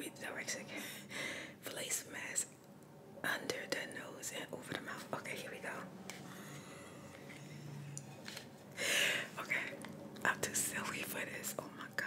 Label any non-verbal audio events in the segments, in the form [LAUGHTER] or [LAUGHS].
Read the direction. Place mask under the nose and over the mouth. Okay, here we go. Okay, I'm too silly for this. Oh my god.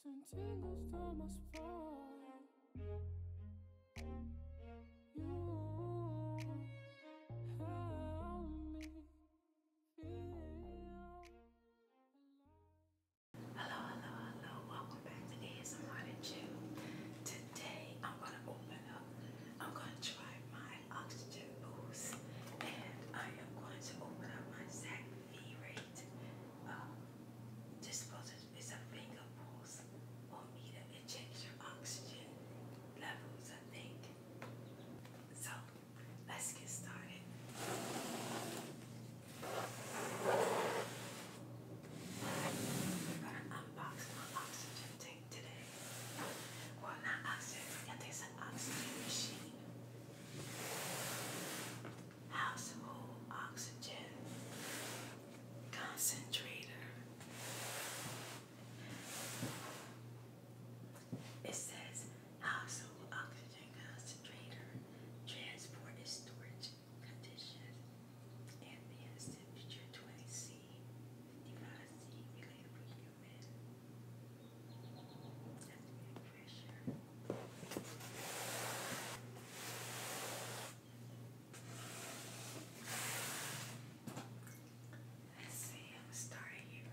Sentindo os tomas fora. Hello, hello, hello. Welcome back to ASMR and Chill. Today I'm gonna open up. I'm gonna try my oxygen boost, and I am going to open up my Zach V rate. Um, uh, disposable it's a finger pulse or meter. It checks your oxygen levels, I think. So let's get started. I'm gonna unbox my oxygen tank today. Well, not oxygen, it's an oxygen machine household oxygen concentrator. It says household oxygen concentrator, transport and storage condition, ambience temperature 20 C, 55 C, related for human. pressure. Let's see, I'm starting here.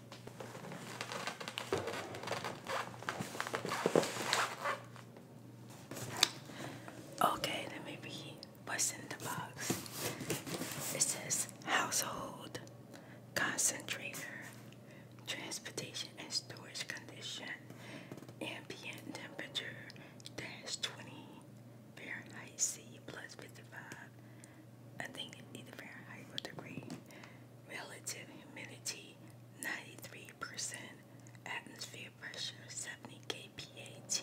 Okay, let me read what's in the box. It says household concentrator, transportation and storage condition, ambient temperature dash 20 Fahrenheit C plus 55. I think it's Fahrenheit degree relative humidity 93%, atmosphere pressure 70 kPat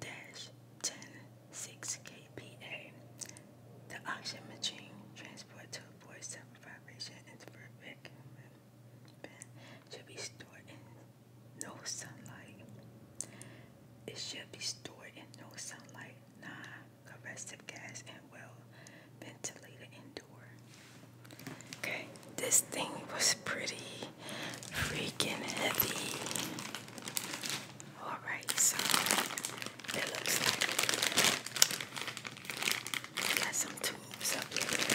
dash 106 kPa. The oxygen machine transport to avoid board self vibration into perfect should be stored in no sunlight. It should be stored in no sunlight compressive gas and well ventilated indoor. Okay, this thing was pretty freaking heavy. Alright, so it looks like we got some tubes up here.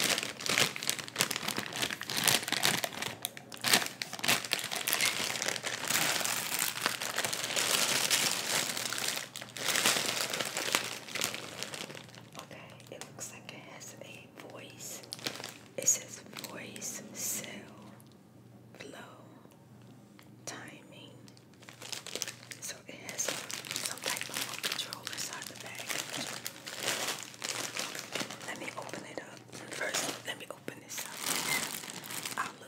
Okay, it looks like it has a voice. It says voice, cell, flow, timing. So it has some type of control inside the bag. Let me open it up. First, let me open this up. I'll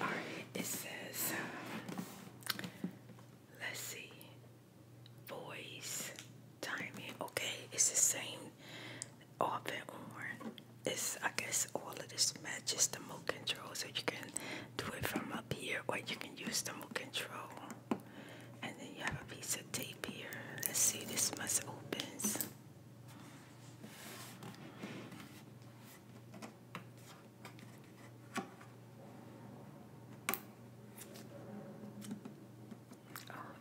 All right, it says, um, let's see, voice, timing. Okay, it's the same off and on. It's, I guess, all of this matches the remote control, so you can do it from up here or you can use the remote control. And then you have a piece of tape here. Let's see, this must opens. Oh,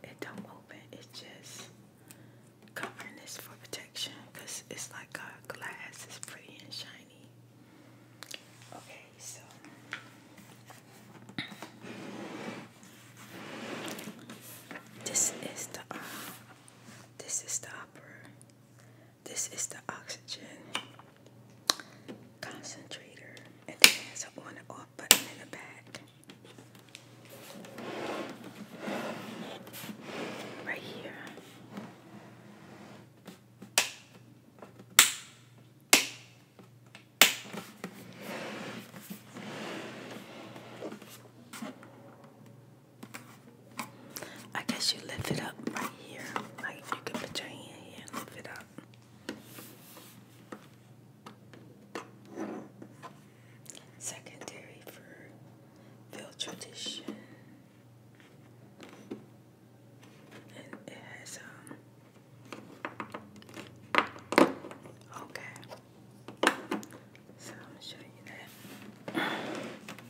it don't open. It's just covering this for protection because it's like a glass. It's pretty and shiny. Okay, so this is the uh, this is the upper this is the oxygen concentrator, and it has an on and off button in the back. Right here. I guess you lift it up right here. Like you can put your hand here lift it up. Secondary for field tradition. And it has um okay. So I'm show you that.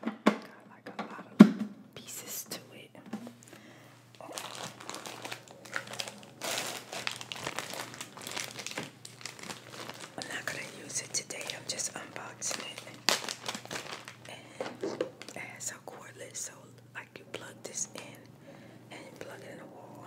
So got like a lot of pieces to it. I'm not gonna use it today. I'm just unboxing it. And a cordless, so like you plug this in and plug it in the wall.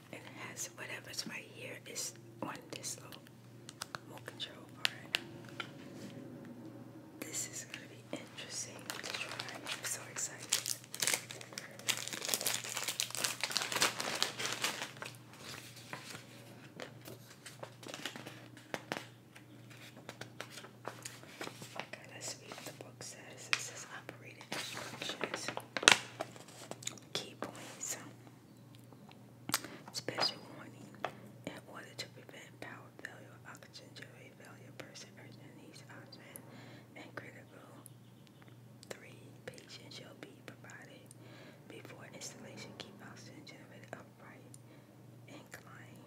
It has whatever's right here is on this loop. more control part. This is going to be interesting to try. I'm so excited. Okay, let's read what the book says. It says operating instructions, key points. Special warning. In order to prevent power failure oxygen generator failure, a person needs oxygen and critical. Three, patients shall be provided before installation. Keep oxygen generator upright. Incline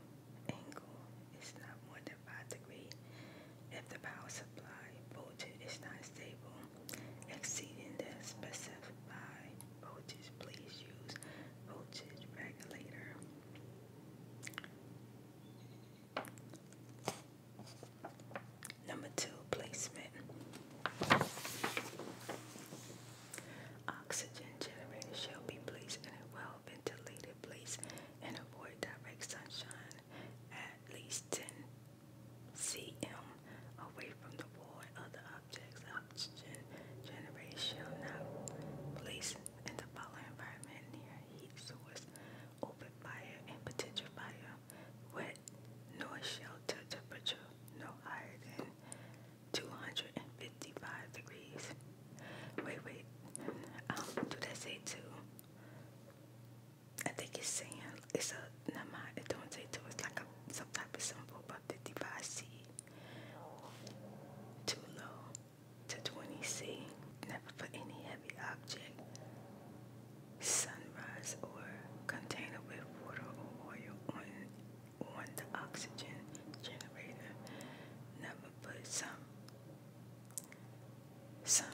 angle is not more than 5 degrees. If the power supply voltage is not stable, exceeding the specified voltage, please use voltage regulator. Number two, placement. Oxygen generator shall be placed in a well-ventilated place and avoid direct sunshine at least 10 CM away from the wall board. Other objects, oxygen generation now. place in the following environment near heat source, open fire and potential fire, wet, No shelter temperature no higher than 255 degrees. Wait, wait, um, do that say two? I think it's saying it's a never it don't say two, it's like a some type of symbol, about 55 C too low to 20 C. Never put any heavy object, sunrise or container with water or oil on on the oxygen generator. Never put some some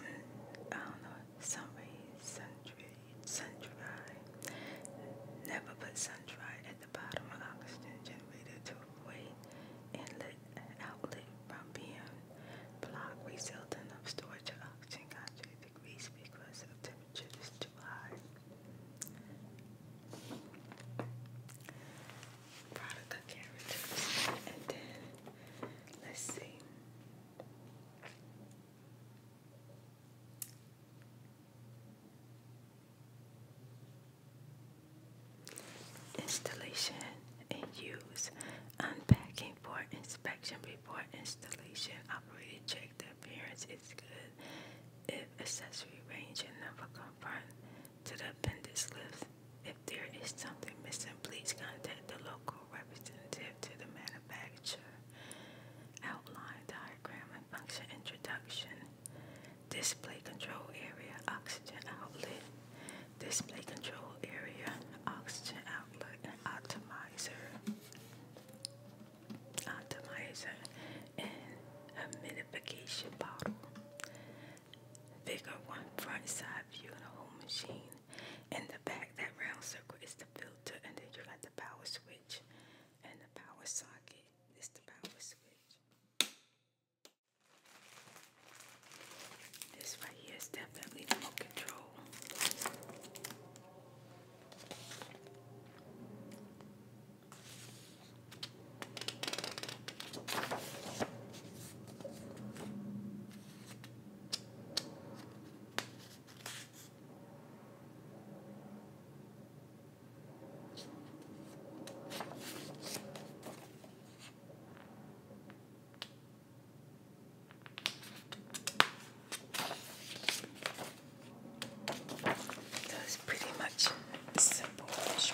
I don't know, some rays, sundry sun-dried. Never put sun-dried at the bottom of oxygen generator to avoid inlet outlet from being blocked, resulting of storage of oxygen contract degrees because of temperature too high. Product of characters. And then, let's see. Installation and use unpacking for inspection before installation. Operator check the appearance is good. If accessory range and number confirm to the appendix list, if there is something missing, please contact the local representative to the manufacturer literature, outline, diagram, and function introduction, display control area, oxygen outlet, display control area, oxygen outlet, and optimizer, optimizer, and humidification bottle. Figure one front side view of the whole machine. In the back, that round circle is the filter and then you got the power switch and the power socket. This is the power switch. This right here is definitely remote control. That's pretty much simple. Rubbish,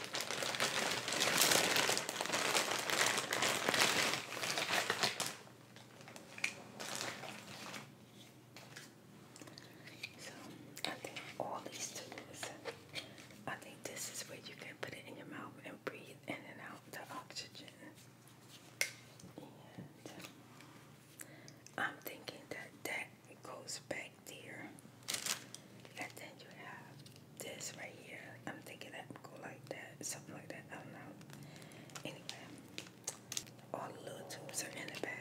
So I think all these things, I think this is where you can put it in your mouth and breathe in and out the oxygen. And um, I'm thinking that that goes back there. And then you have this right here. I'm thinking that go like that, something like that. I don't know. Anyway, all the little tubes are in the bag.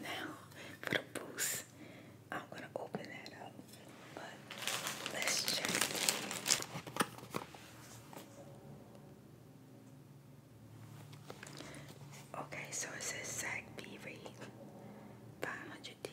Now for the boost, I'm gonna open that up, but let's check. Okay, so it says Zach Beery, 500 D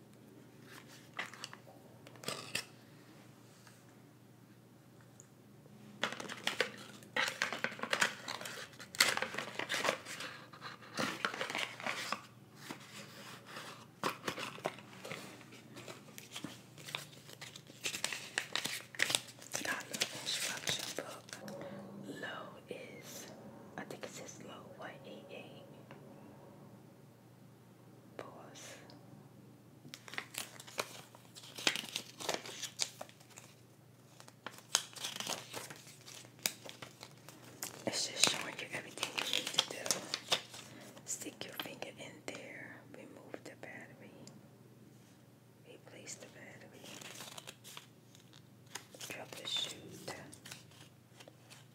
Got a instruction book. Low is, I think it says low, what, it's just showing you everything you need to do. Stick your finger in there, remove the battery, replace the battery, troubleshoot,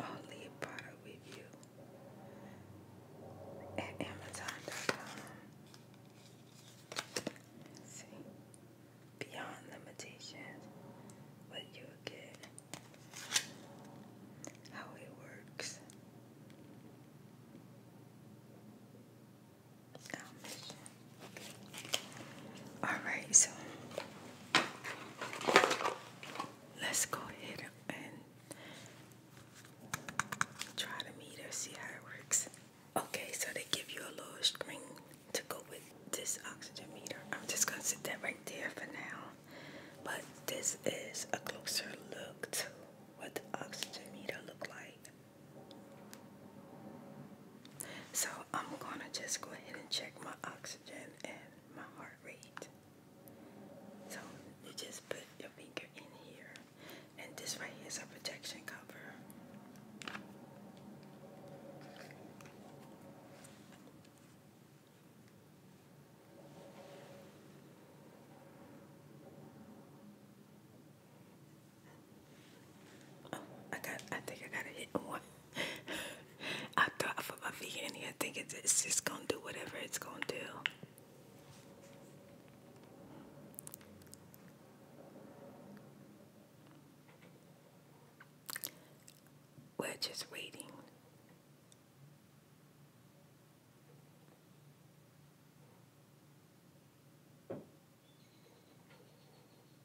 I'll leave product with you at Amazon.com. See, beyond limitations, what you'll get, how it works, All right, so Let's go ahead and try to meet see how it works. Okay, so they give you a little screen to go with this oxygen meter. I'm just gonna sit that right there for now. But this is a closer look to what the oxygen meter look like. So I'm going to just go ahead and check my oxygen and my heart rate. So you just put your finger in here. And this right here is a protection cover. Oh, I got I think I gotta hit one. I thought I put my feet in here thinking it's just gonna do whatever it's gonna do. We're just waiting.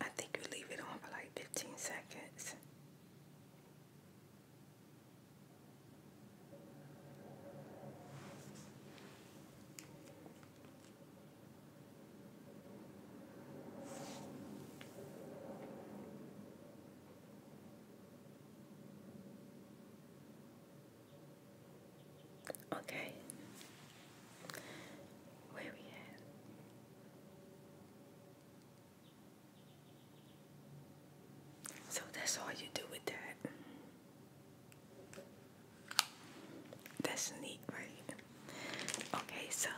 I think you leave it on for like 15 seconds. Okay. Where we at? So that's all you do with that. That's neat, right? Okay, so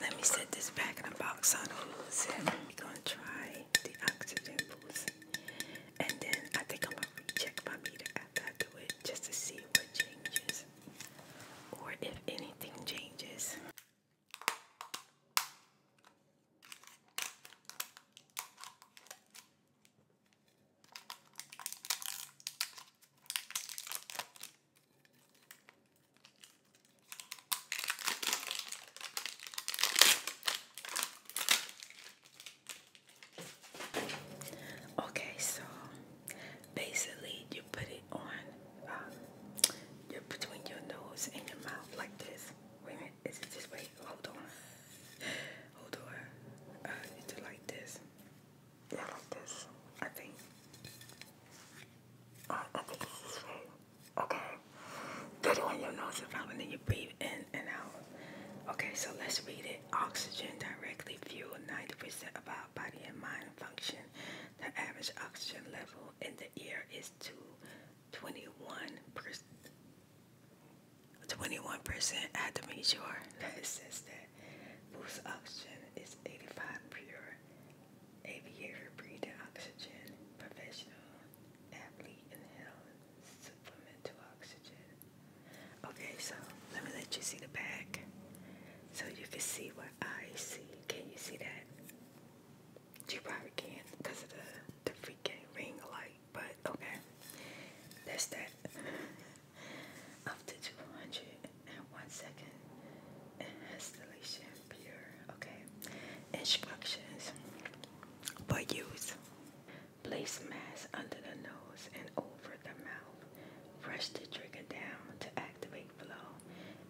let me set this back in the box I don't lose it. We're gonna try the oxygen boost. And then I think I'm gonna recheck my meter after I it just to see what changes or if anything changes. Okay, so basically you put it on uh, you between your nose and your mouth like this. Wait is it this way? Hold on. Hold on. do uh, like this. Yeah, like this. I think. I, Okay. Put it on your nose and and then you breathe in and out. Okay, so let's read it. Oxygen directly fuels 90% of our body and mind function. The average oxygen level in the air is 221 percent. 21% at the major. It says that whose oxygen is 85 pure aviator breathing oxygen, professional athlete inhales supplemental oxygen. Okay, so let me let you see the back so you can see what I see. Can you see that? You probably can't because of the, the freaking ring light, but okay, that's that up to 201 second installation Pure. Okay. Instructions for use. Place mask under the nose and over the mouth. Brush the trigger down to activate flow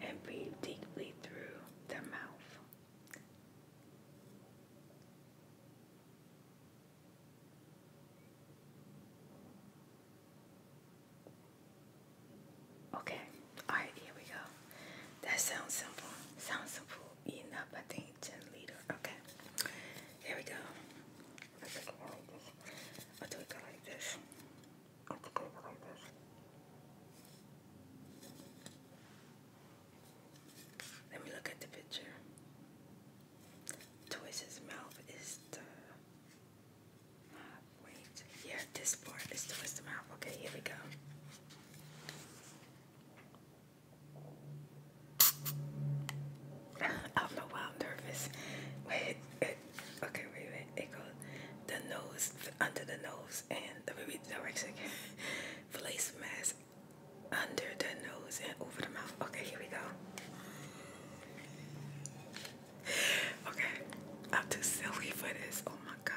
and breathe deeply through the mouth. Okay, all right, here we go. That sounds simple. Sounds simple enough, I think, ten liter. Okay, here we go. I think I like this. Let me look at the picture. Toys' mouth is the Wait, yeah, this part is twist them out. Okay, here we go. I don't know why I'm nervous. Wait, it, okay, wait, wait. It goes the nose under the nose, and let me read the direction again. [LAUGHS] Place mask under the nose and over the mouth. Okay, here we go. [LAUGHS] okay, I'm too silly for this. Oh my god.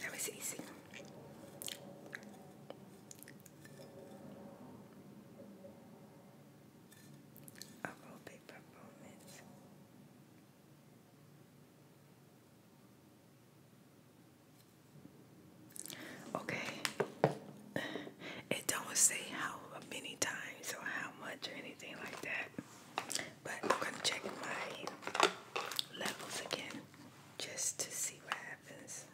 That was easy. A little performance. Okay. It don't say how many times or how much or anything like that. But I'm gonna check my levels again just to see what happens.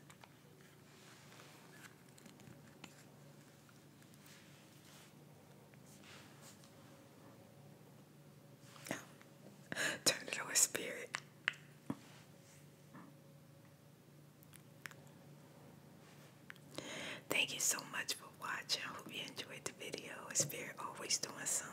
[LAUGHS] Turn it over, spirit. Thank you so much for watching. hope you enjoyed the video. Spirit always doing something.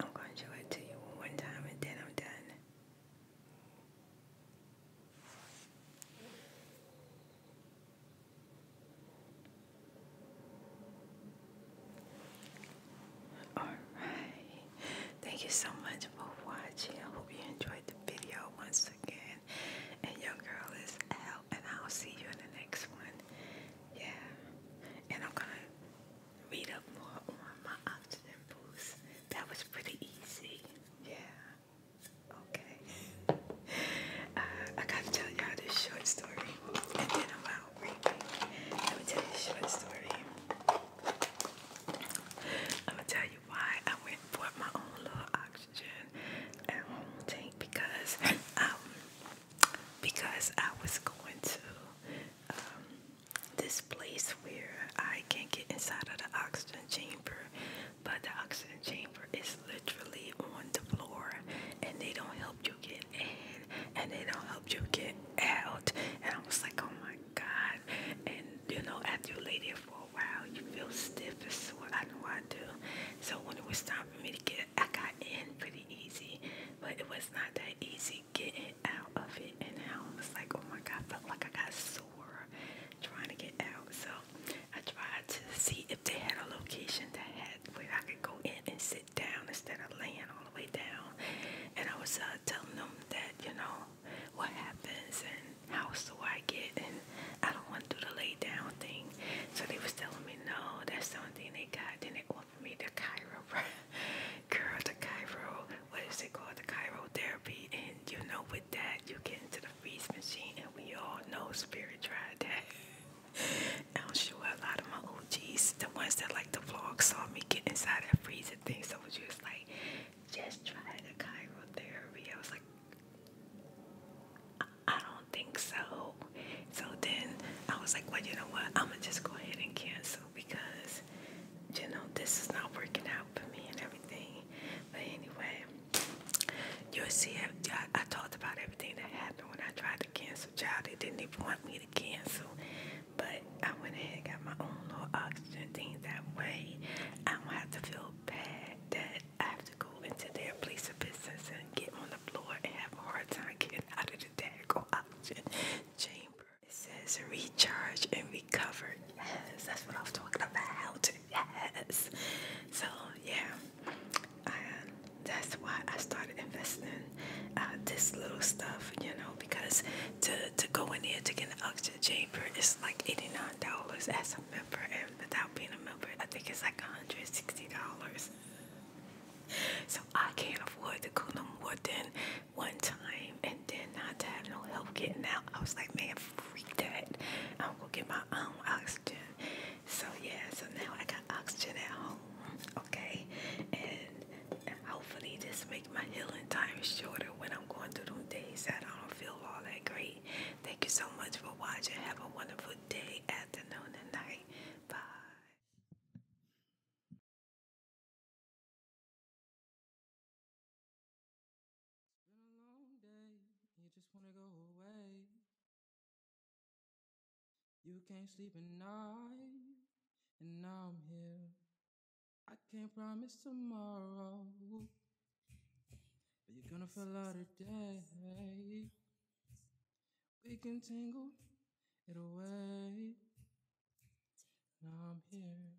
I'm going to show it to you one time and then I'm done. Alright, thank you so much for watching. I hope you enjoyed the video once again. And your girl is out, and I'll see you in the next one. Yeah, and I'm gonna read up more on my oxygen boost. That was pretty easy. Yeah, okay. [LAUGHS] Uh, I gotta tell y'all this short story, and then I'm out. Let me tell you a short story. I'm gonna tell you why I went for my own little oxygen at um, home tank because um because I was going to um, this place where I can not get inside of the oxygen chamber, but the oxygen chamber is literally on the floor and they don't help you get in and they don't help you get out. And I was like, oh my God. And you know, after you lay there for a while, you feel stiff as sore. I know I do. So when it was time for me to get, I got in pretty easy, but it was not that easy getting out of it. And I was like, oh my God, I felt like I got sore trying to get out. So I tried to see if they had a location that had where I could go in and sit down instead of laying all the way down. And I was uh, telling them that, you know, what happens and how so I get and I don't want to do the lay down thing. So they was telling me, no, that's something they got. Then they offered me the Cairo, [LAUGHS] girl, the Cairo, what is it called? The Cairo therapy. And you know, with that, you get into the freeze machine and we all know spirit tried that. [LAUGHS] [LAUGHS] I'm sure a lot of my OGs, the ones that like the vlog, saw me get inside that freezer thing. So she was just like, just try the chirotherapy. I was like, I, don't think so. So then I was like, well, you know what? I'm gonna just go ahead and cancel because, you know, this is not working out for me and everything. But anyway, you'll see. I, talked about it everything that happened when I tried to cancel child. They didn't even want me to cancel. But I went ahead and got my own little oxygen thing that way. I don't have to feel bad that I have to go into their place of business and get on the floor and have a hard time getting out of the daggone oxygen chamber. It says recharge and recover. Yes, that's what I was talking about. Yes. So yeah that's why I started investing uh, this little stuff, you know, because to to go in there to get an oxygen chamber is like eighty nine dollars as a member, and without being a member, I think it's like one hundred sixty dollars. So I can't afford to go no more than one time, and then not to have no help getting out. I was like, man, freak that! I'm gonna get my own oxygen. So yeah, so now I got oxygen at home, okay? And hopefully this make my healing time shorter when I'm going through them days that I don't feel all that great. Thank you so much for watching. Have a wonderful day, afternoon, and night. Bye. You can't sleep at night, and now I'm here. I can't promise tomorrow, but you're gonna fall out today. We can tangle it away. Now I'm here.